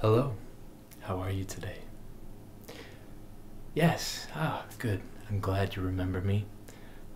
Hello, how are you today? Yes, ah, good. I'm glad you remember me.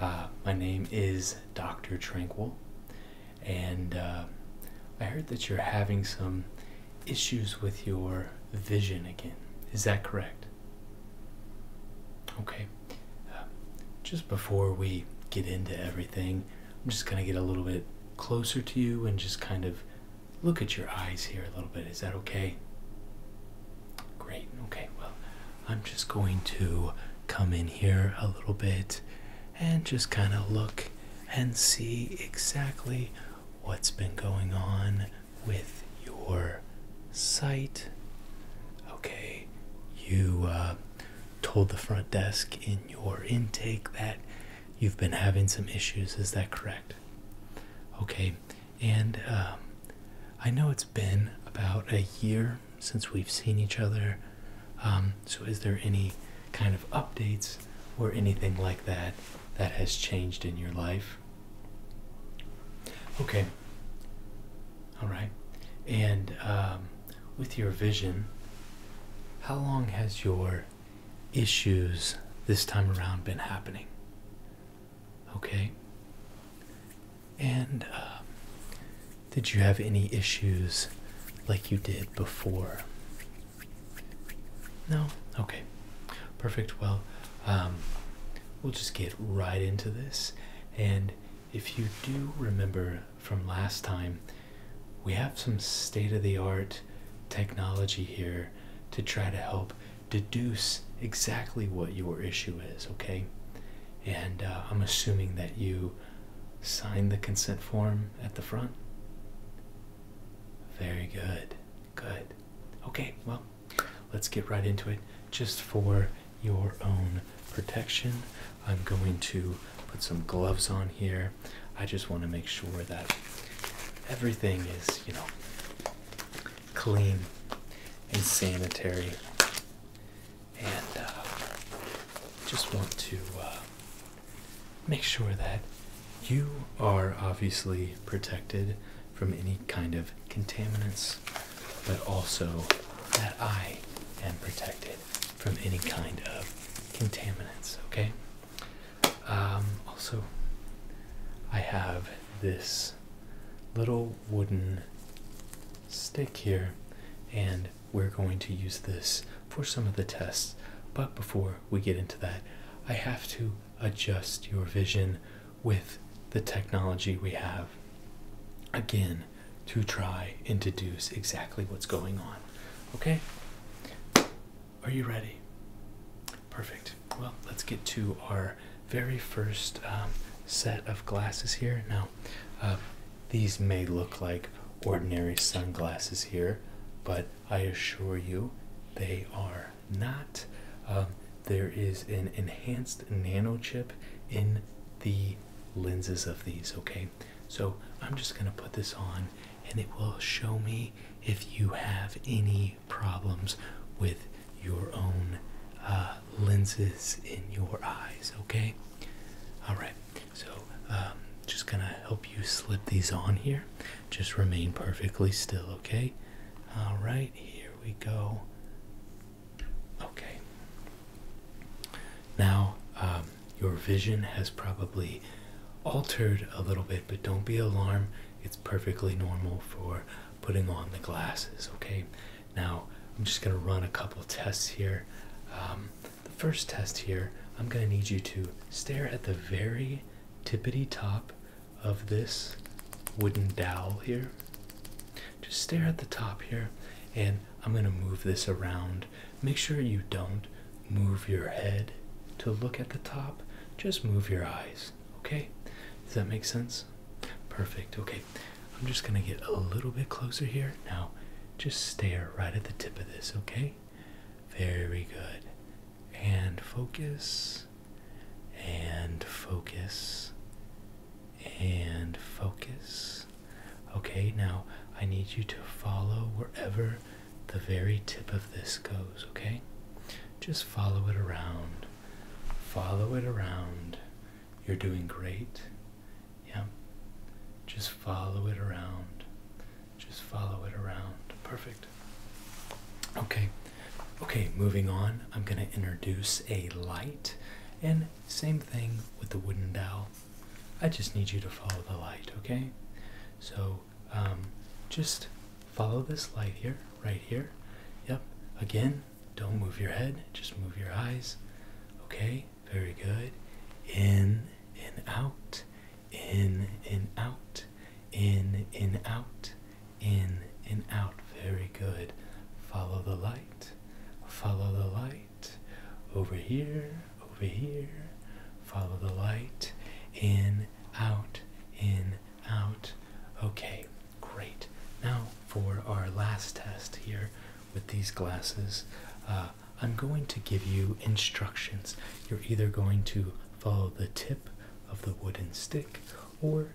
Uh, my name is Dr. Tranquil, and uh, I heard that you're having some issues with your vision again. Is that correct? Okay. Uh, just before we get into everything, I'm just going to get a little bit closer to you and just kind of look at your eyes here a little bit. Is that okay? Great. Okay, well, I'm just going to come in here a little bit and just kind of look and see exactly what's been going on with your sight. Okay, you uh, told the front desk in your intake that you've been having some issues. Is that correct? Okay, and um, I know it's been about a year since we've seen each other. Um, so, is there any kind of updates or anything like that that has changed in your life? Okay, all right, and um, with your vision, how long has your issues this time around been happening? Okay. And uh, did you have any issues like you did before? No? Okay. Perfect. Well, um, we'll just get right into this. And if you do remember from last time, we have some state of the art technology here to try to help deduce exactly what your issue is, okay? And uh, I'm assuming that you signed the consent form at the front. Very good. Good. Okay, well, let's get right into it just for your own protection. I'm going to put some gloves on here. I just want to make sure that everything is, you know, clean and sanitary. And uh, just want to uh, make sure that you are obviously protected from any kind of contaminants, but also that I am protected from any kind of contaminants. Okay. Um, also, I have this little wooden stick here, and we're going to use this for some of the tests. But before we get into that, I have to adjust your vision with the technology we have. Again, to try and deduce exactly what's going on. Okay? Are you ready? Perfect. Well, let's get to our very first um, set of glasses here. Now, uh, these may look like ordinary sunglasses here, but I assure you they are not. Um, there is an enhanced nano chip in the lenses of these, okay? So I'm just gonna put this on and it will show me if you have any problems with your own uh, lenses in your eyes, okay? All right, so um, just gonna help you slip these on here. Just remain perfectly still, okay? All right, here we go. Okay. Now, um, your vision has probably altered a little bit, but don't be alarmed. It's perfectly normal for putting on the glasses, okay? Now, I'm just going to run a couple tests here. Um, the first test here, I'm going to need you to stare at the very tippity top of this wooden dowel here. Just stare at the top here, and I'm going to move this around. Make sure you don't move your head to look at the top, just move your eyes. Okay? Does that make sense? Perfect. Okay. I'm just going to get a little bit closer here. Now, just stare right at the tip of this, okay? Very good. And focus. And focus and focus. Okay, now I need you to follow wherever the very tip of this goes, okay? Just follow it around. Follow it around. You're doing great. Yeah. Just follow it around. Just follow it around. Perfect. Okay. Okay, moving on. I'm going to introduce a light and same thing with the wooden dowel. I just need you to follow the light, okay? So um, just follow this light here, right here. Yep. Again, don't move your head, just move your eyes. Okay, very good. In, and out. In, and out. In, and out. In, in, out. Very good. Follow the light follow the light over here, over here, follow the light in, out, in, out. Okay, great. Now for our last test here with these glasses, uh, I'm going to give you instructions. You're either going to follow the tip of the wooden stick or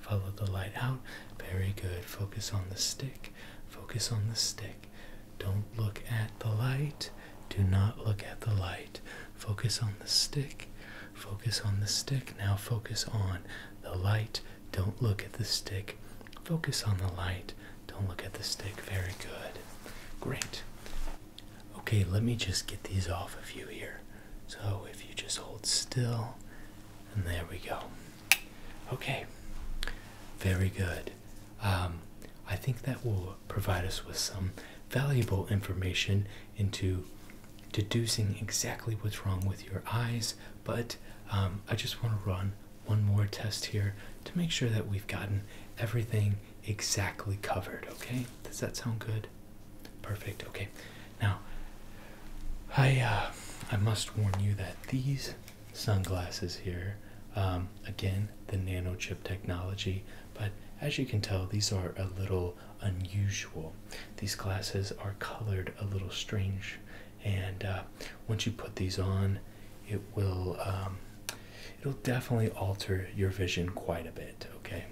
Follow the light out. Very good. Focus on the stick. Focus on the stick. Don't look at the light. Do not look at the light. Focus on the stick. Focus on the stick. Now focus on the light. Don't look at the stick. Focus on the light. Don't look at the stick. Very good. Great. Okay, let me just get these off of you here. So if you just hold still, and there we go. Okay, very good. Um, I think that will provide us with some valuable information into deducing exactly what's wrong with your eyes, but um, I just want to run one more test here to make sure that we've gotten everything exactly covered, okay? Does that sound good? Perfect. Okay. Now, I uh, I must warn you that these sunglasses here, um, again, the nano chip technology, but as you can tell, these are a little unusual. These glasses are colored a little strange, and uh, once you put these on, it will um, it'll definitely alter your vision quite a bit. Okay.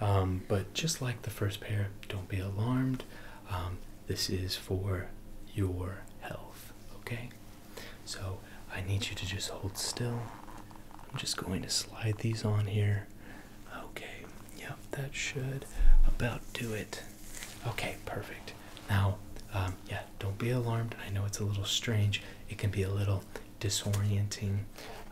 Um, but just like the first pair, don't be alarmed. Um, this is for your health, okay? So I need you to just hold still. I'm just going to slide these on here. Okay, yep, that should about do it. Okay, perfect. Now, um, yeah, don't be alarmed. I know it's a little strange. It can be a little disorienting.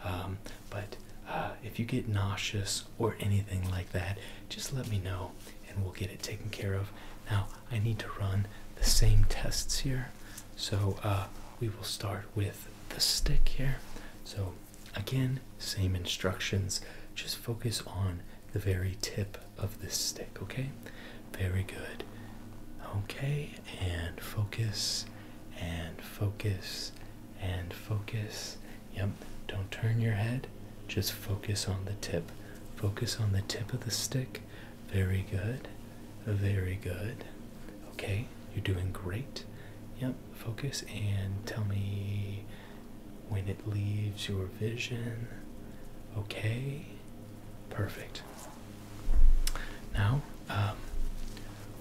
Um, but uh, if you get nauseous or anything like that, just let me know and we'll get it taken care of. Now, I need to run the same tests here. So uh, we will start with the stick here. So, again, same instructions. Just focus on the very tip of this stick, okay? Very good. Okay, and focus, and focus, and focus. Yep, don't turn your head, just focus on the tip. Focus on the tip of the stick. Very good, very good. Okay, you're doing great. Yep, focus and tell me when it leaves your vision. Okay, perfect. Now, um,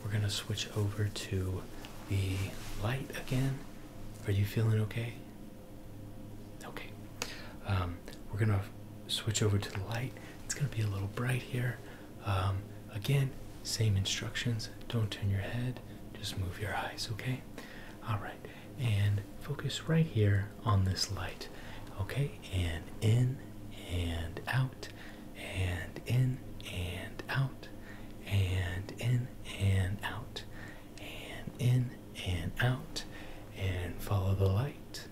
we're gonna switch over to the light again. Are you feeling okay? Okay. Um, we're gonna switch over to the light. It's gonna be a little bright here. Um, again, same instructions. Don't turn your head. Just move your eyes. Okay. All right. And focus right here on this light. Okay. And in and out and in and out and in and out and in and out and follow the light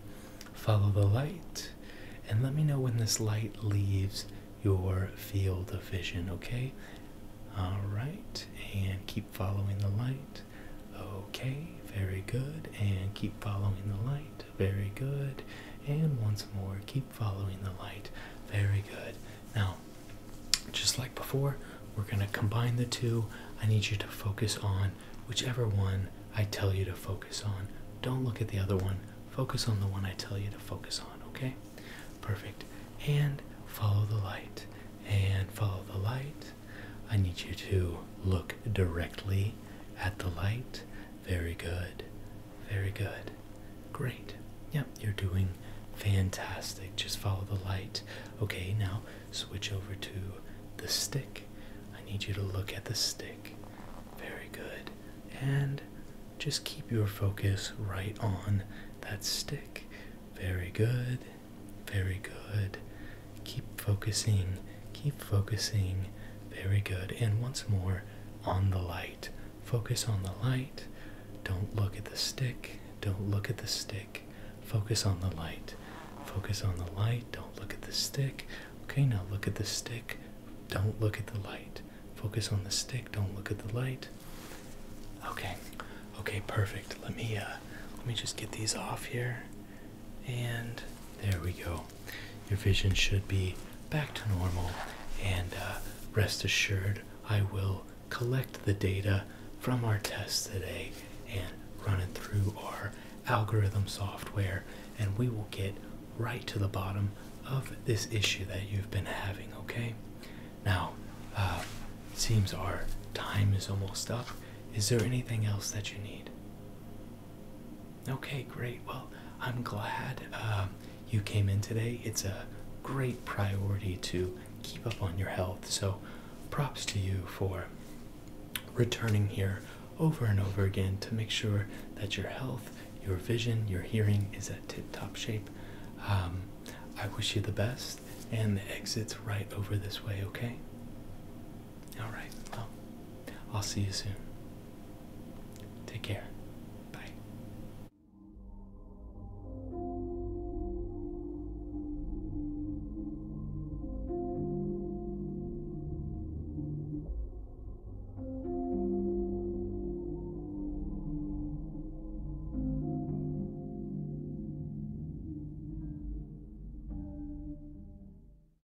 follow the light and let me know when this light leaves your field of vision okay all right and keep following the light okay very good and keep following the light very good. And once more, keep following the light. Very good. Now, just like before, we're going to combine the two. I need you to focus on whichever one I tell you to focus on. Don't look at the other one. Focus on the one I tell you to focus on, okay? Perfect. And follow the light. And follow the light. I need you to look directly at the light very good. Very good. Great. Yep, you're doing fantastic. Just follow the light. Okay, now switch over to the stick. I need you to look at the stick. Very good. And just keep your focus right on that stick. Very good. Very good. Keep focusing Keep focusing. Very good. And once more on the light. Focus on the light. Don't look at the stick. Don't look at the stick. Focus on the light. Focus on the light. Don't look at the stick. Okay, now look at the stick. Don't look at the light. Focus on the stick. Don't look at the light. Okay. Okay, perfect. Let me uh let me just get these off here. And there we go. Your vision should be back to normal, and uh, rest assured, I will collect the data from our tests today and run it through our algorithm software, and we will get right to the bottom of this issue that you've been having, okay? Now, it uh, seems our time is almost up. Is there anything else that you need? Okay, great. Well, I'm glad um, you came in today. It's a great priority to keep up on your health. So, props to you for returning here over and over again to make sure that your health, your vision, your hearing is at tip top shape. Um, I wish you the best, and the exit's right over this way, okay? All right. Well, I'll see you soon. Take care. Bye.